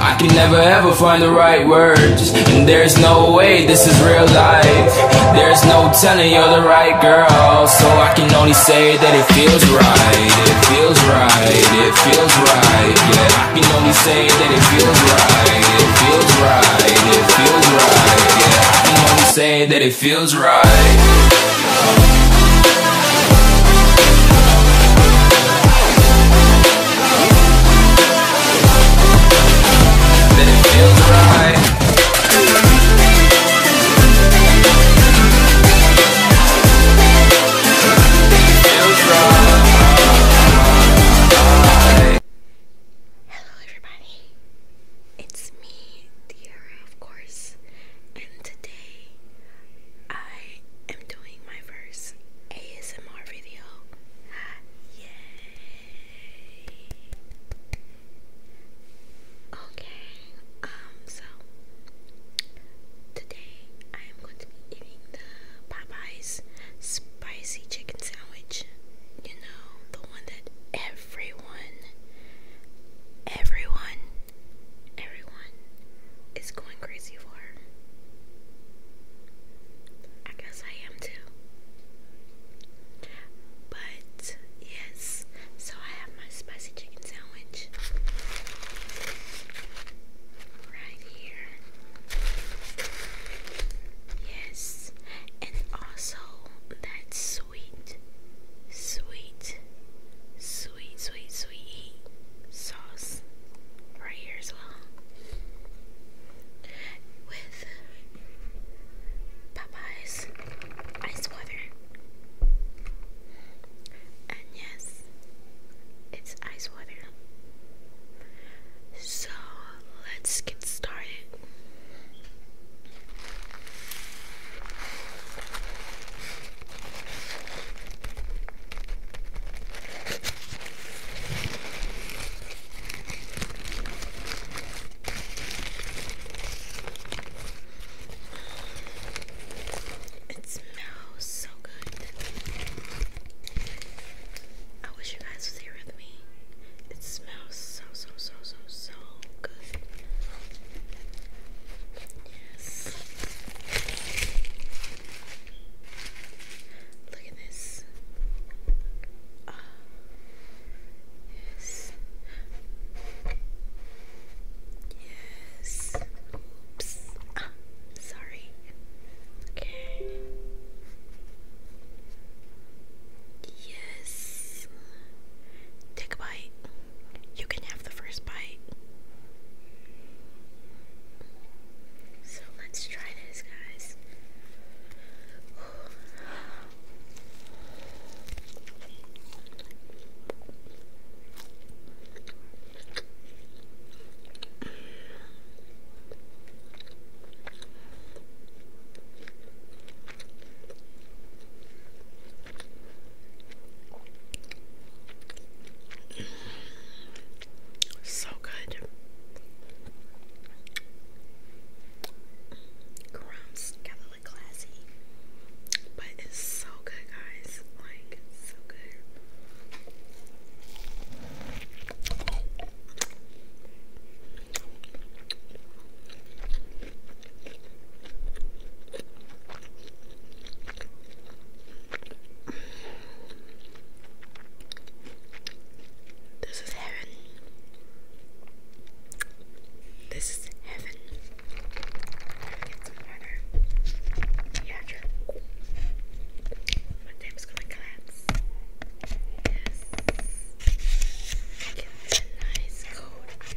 I can never ever find the right words And there's no way this is real life There's no telling you're the right girl So I can only say that it feels right It feels right, it feels right Yeah, I can only say that it feels right It feels right, it feels right Yeah, I can only say that it feels right Hello everybody, it's me, Tiara of course, and today I am doing my first ASMR video. Yay! Okay, um, so today I am going to be eating the Popeyes spicy chicken sandwich. You know, the one that everyone, everyone everyone is going crazy for I guess I am too. But yes, so I have my spicy chicken sandwich right here. Yes, and also that sweet, sweet, sweet sweet, sweet, sweet heat sauce right here as well with Popeye's ice water. And yes, it's ice water. So let's get started. It smells so good. I wish you guys was here with me. It smells so so so so so good. Yes. Look at this. Ah. Yes. Yes. Oops. Ah, sorry. Okay. Yes. Take a bite. You can have the first bite. So let's try this, guys. So good. Grounds kind of like classy, but it's so good, guys. Like so good. This is heaven. This is heaven. Get some water. Yeah, sure. My table's gonna collapse. Yes. Get a nice cold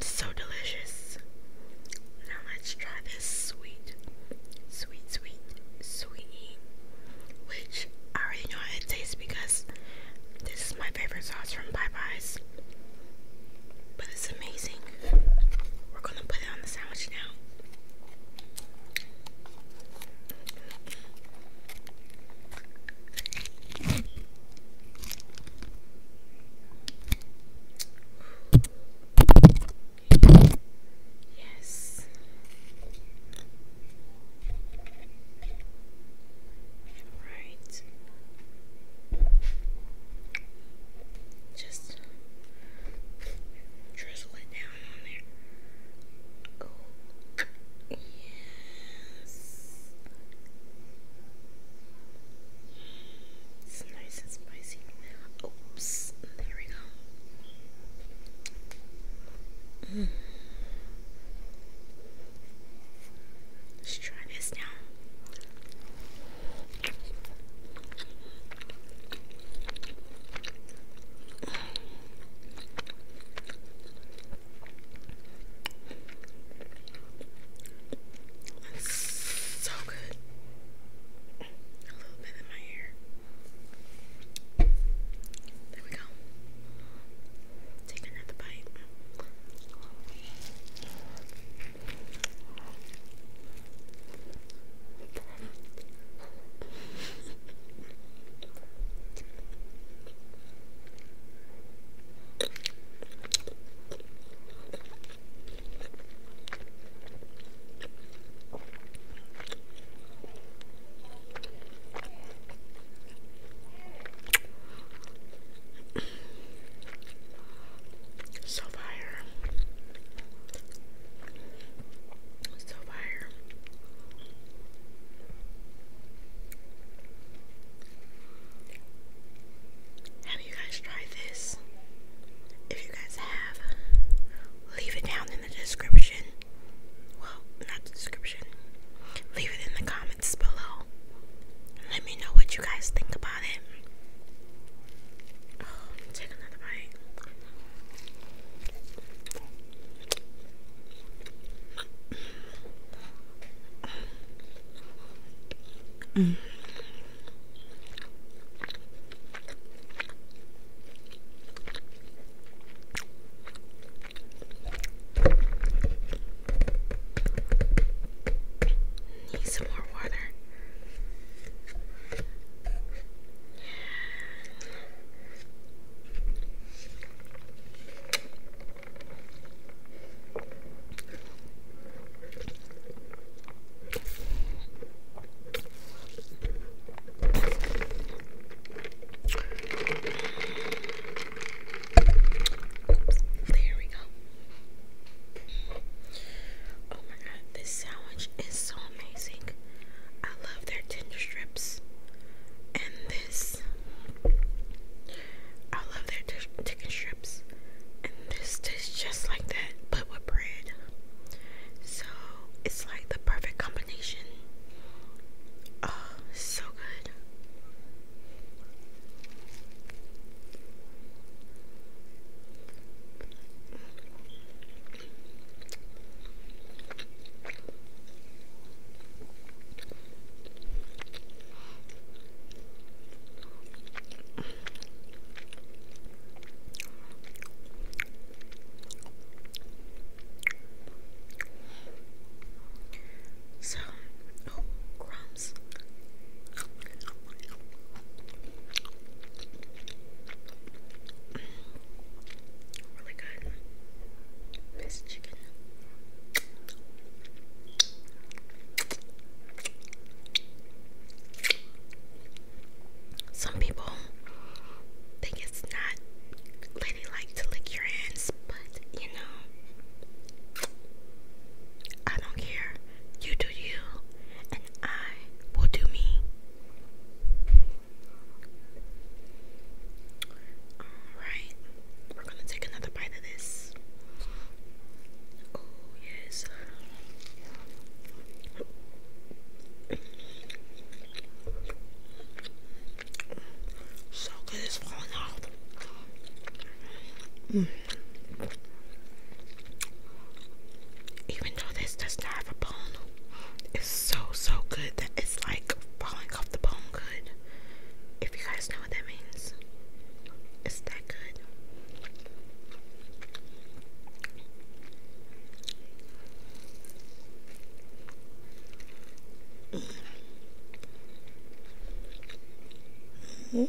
So delicious. Now let's try sweet, sweet, sweet, sweet, which I already know how it tastes because this is my favorite sauce from Popeyes. But it's amazing. We're gonna put it on the sandwich now. Yes. All right. Just drizzle it down on there. Oh, yes. It's nice and spicy. Oops, there we go. Mm. Let's try this now. That's so good a little bit in my hair. There we go. Take another bite. So fire. So fire you guys tried this? If you guys have, leave it down in the description. Well, not the description. Leave it in the comments below. Let me know what you guys think about it. Oh, another bite. Mm. Need some more water there we go. Oh my god, this sandwich is so amazing. I love their tender strips. And this, I love their chicken strips this. And this tastes just like that, but with bread. So it's like the perfect combination. Oh, so good. So, oh, crumbs. Really good. This chicken. Some people think it's not ladylike to lick your hands, but you know, I don't care. You do you, and I will do me. Alright, we're gonna take another bite of this. Oh, yes. So good, it's falling off. Even though this does not have a bone, it's so, so good that it's like falling off the bone good. If you guys know what that means, it's that that good. -hmm.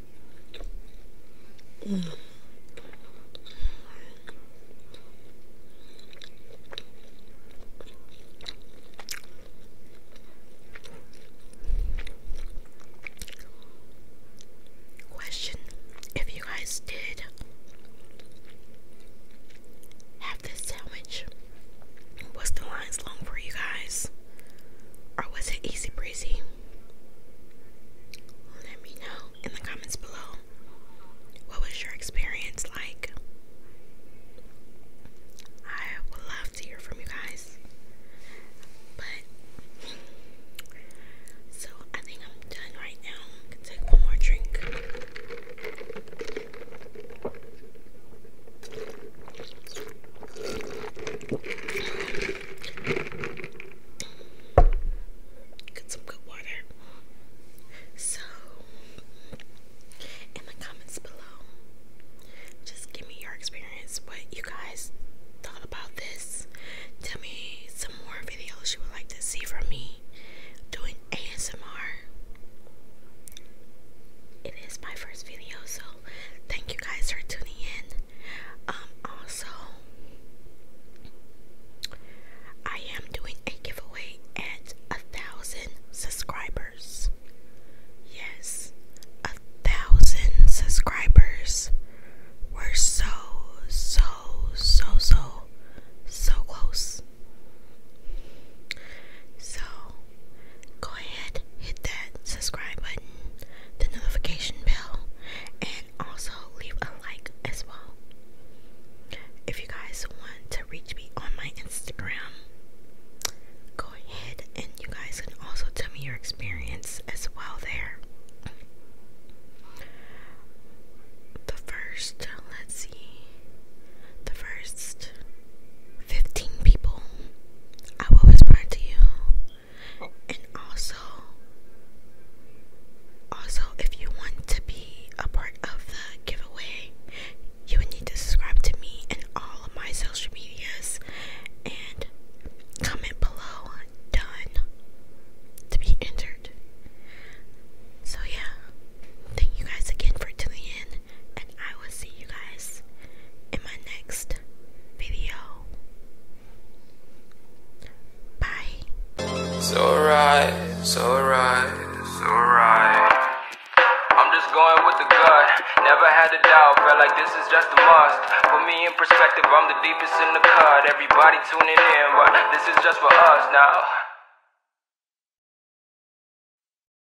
Mm. Question if you guys did have this sandwich, was the lines long for you guys? Or was it easy breezy? Let me know in the comments below. What was your experience like? I would love to hear from you guys. But, so I think I'm done right now. can take one more drink. Get some good water. So, in the comments below, just give me your experience, what you guys thought about this. Tell me some more videos you would like to see from me doing ASMR. It is my first video, so thank you guys for tuning in. Um, also, I am doing a giveaway at a thousand subscribers. Yes, a thousand subscribers. We're so, so, so, so, so close. So, go ahead, hit that subscribe button, the notification bell, and also leave a like as well. If you guys want to reach me on my Instagram, go ahead and you guys can also tell me your experience as well there. The first, let's see, the first 15 people I will whisper to you. And also, also, if you want to be a part of the giveaway, you would need to subscribe to me and all of my social medias and comment below done to be entered. So, yeah, thank you guys again for tuning in and I will see you guys in my next video. Bye. It's alright, it's alright, it's alright. I'm just going with the gut. Never had a doubt, felt like this is just a must. Put me in perspective, I'm the deepest in the cut. Everybody tuning in, but this is just for us now.